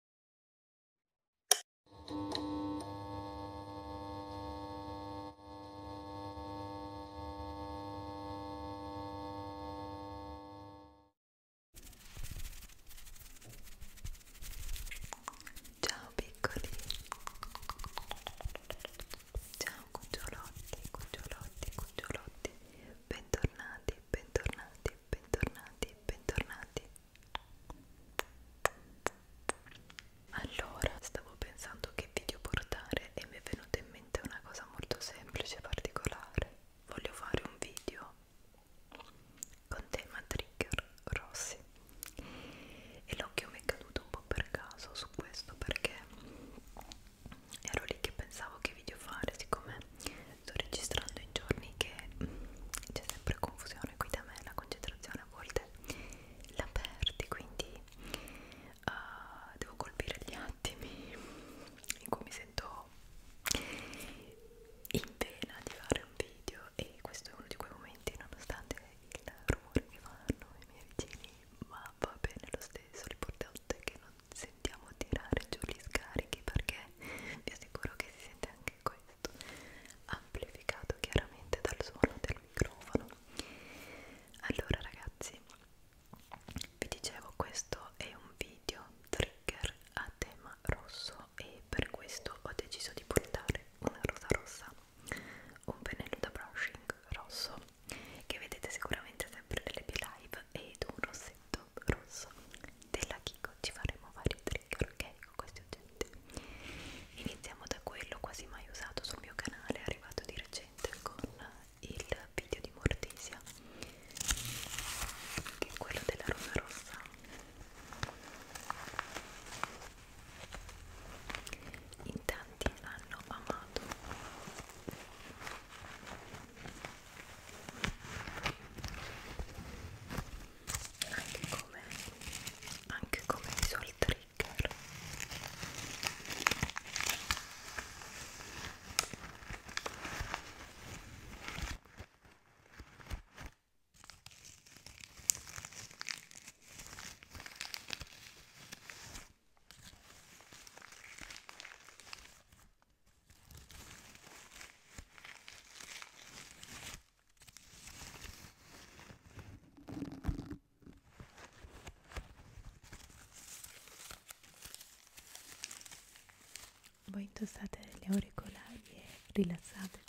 Ciao piccoli, ciao cucciolotti, cucciolotti, cucciolotti, bentornati, bentornati, bentornati, bentornati allora, stavo pensando che video portare e mi è venuta in mente una cosa molto semplice e particolare. Voglio fare un video con tema trigger rossi e l'occhio mi è caduto un po' per caso su questo perché ero lì che pensavo che video fare siccome sto registrando in giorni che mm, c'è sempre confusione qui da me, la concentrazione a volte la perdi, quindi uh, devo colpire gli attimi in cui mi sento in pena di fare un video e questo è uno di quei momenti nonostante il rumore che fanno i miei vicini, ma va bene lo stesso, l'importante è che non sentiamo tirare giù gli scarichi perché vi sicuro che si sente anche questo amplificato chiaramente dal suono del microfono allora ragazzi vi dicevo questo è un video trigger a tema rosso e per questo ho deciso di portare una rosa rossa un pennello da brushing rosso che vedete sicuramente sempre nelle mie live ed un rossetto questo rosso della Kiko ci faremo vari trigger ok con questi oggetti iniziamo da quello quasi mai usato sul mio canale arrivato di recente con il video di Mortisia che è quello della rosa rossa in tanti hanno amato anche come anche come visual trigger voi indossate gli auricolari e rilassatevi.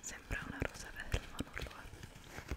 Sembra una rosa bella, ma non lo è.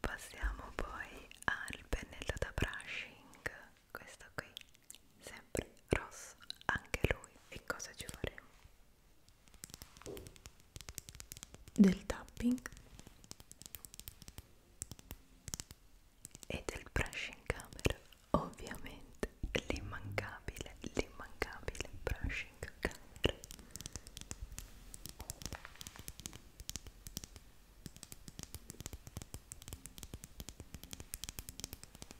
Passiamo poi al pennello da brushing, questo qui, sempre rosso, anche lui. E cosa ci faremo? del tapping e del brush in camera ovviamente l'immancabile l'immancabile brush in camera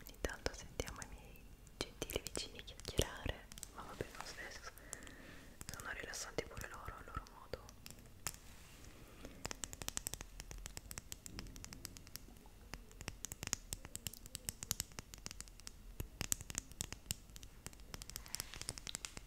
Ogni tanto sentiamo i miei gentili vicini chiacchierare, ma va bene lo stesso, sono rilassanti pure loro al loro modo.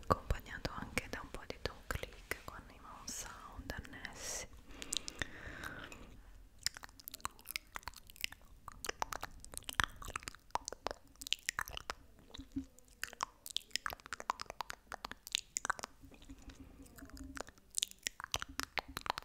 accompagnato anche da un po' di don click con i mouse sound annessi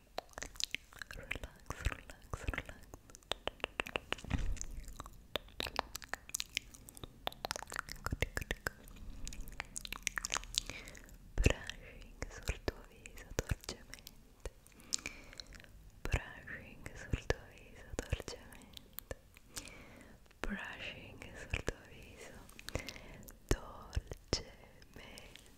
relax, relax, relax. Brushing sul tuo viso dolcemente. Brushing sul tuo viso dolcemente. Brushing sul tuo viso dolcemente.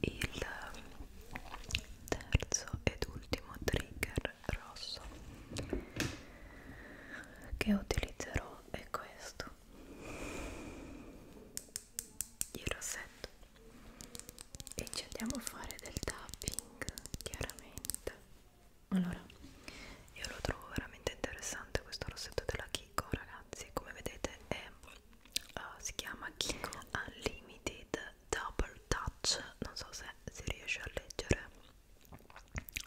il terzo ed ultimo trigger rosso che utilizzerò è questo il rossetto e ci andiamo a fare del tapping chiaramente allora io lo trovo veramente interessante questo rossetto della Kiko ragazzi come vedete è uh, si chiama Kiko Unlimited Double Touch non so se si riesce a leggere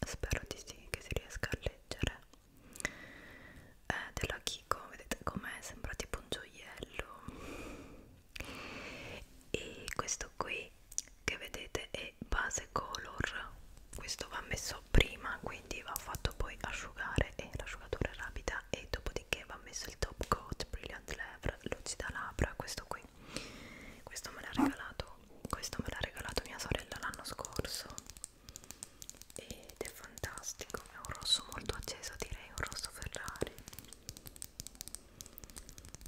spero di sì che si riesca a leggere è eh, della Kiko vedete com'è sembra tipo un gioiello e questo qui che vedete è base color questo va messo prima quindi va fatto poi asciugare e l'asciugatore rapida e dopodiché va messo il top coat brilliant lever lucida labbra questo qui questo me l'ha regalato questo me l'ha regalato mia sorella l'anno scorso ed è fantastico è un rosso molto acceso direi un rosso ferrari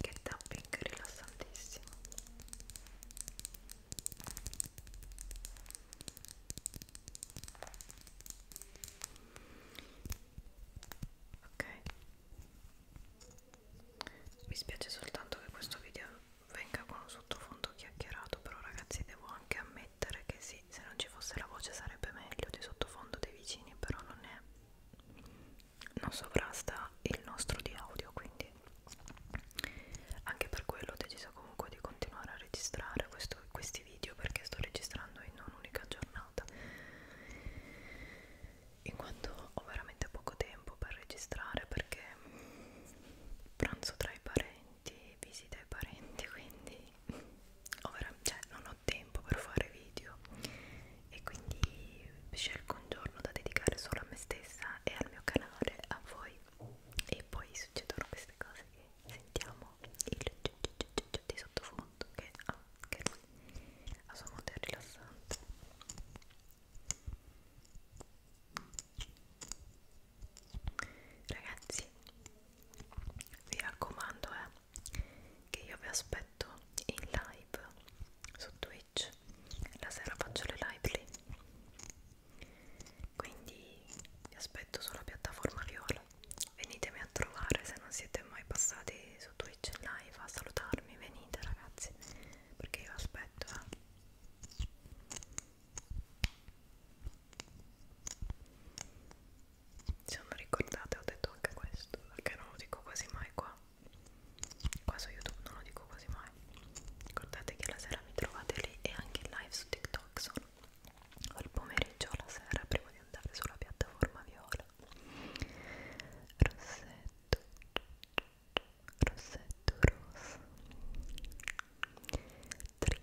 Che tapping rilassantissimo. Ok. Mi spiace soltanto che questo video venga con un sottofondo chiacchierato, però ragazzi devo anche ammettere che si sì, se non ci fosse la voce sarebbe meglio di sottofondo dei vicini, però non è. Non sovrasta il nostro di audio, quindi anche per quello ho deciso comunque di continuare a registrare questo, questi video perché sto registrando in un'unica giornata. In quanto ho veramente poco tempo per registrare perché pranzo tra i parenti, visita ai parenti, quindi ho cioè, non ho ho tempo per fare video e quindi scelgo un giorno da dedicare solo a me stessa e al mio canale, a voi e poi succedono queste cose che sentiamo il giu giu giu giu giu di sottofondo che ha ah, anche lui a suo modo è rilassante ragazzi vi raccomando eh, che io vi aspetto in live su Twitch la sera faccio le live lì quindi vi aspetto sulla piattaforma viola venitemi a trovare se non siete mai passati su Twitch in live a salutarmi venite ragazzi perché io aspetto eh se non ricordate ho detto anche questo perché non lo dico quasi mai qua qua su youtube non lo dico quasi mai ricordate che la sera mi trovate lì e anche in live su tiktok sono al pomeriggio alla sera prima di andare sulla piattaforma viola rossetto rossetto rosa tri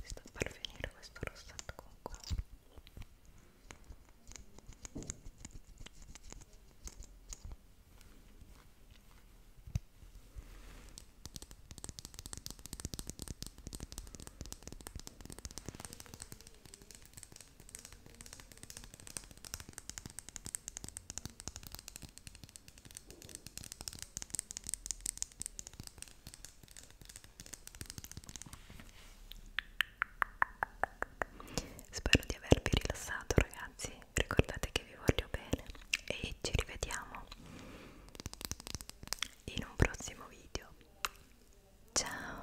si sta per finire questo rossetto con coco Spero di avervi rilassato ragazzi, ricordate che vi voglio bene e ci rivediamo in un prossimo video. Ciao!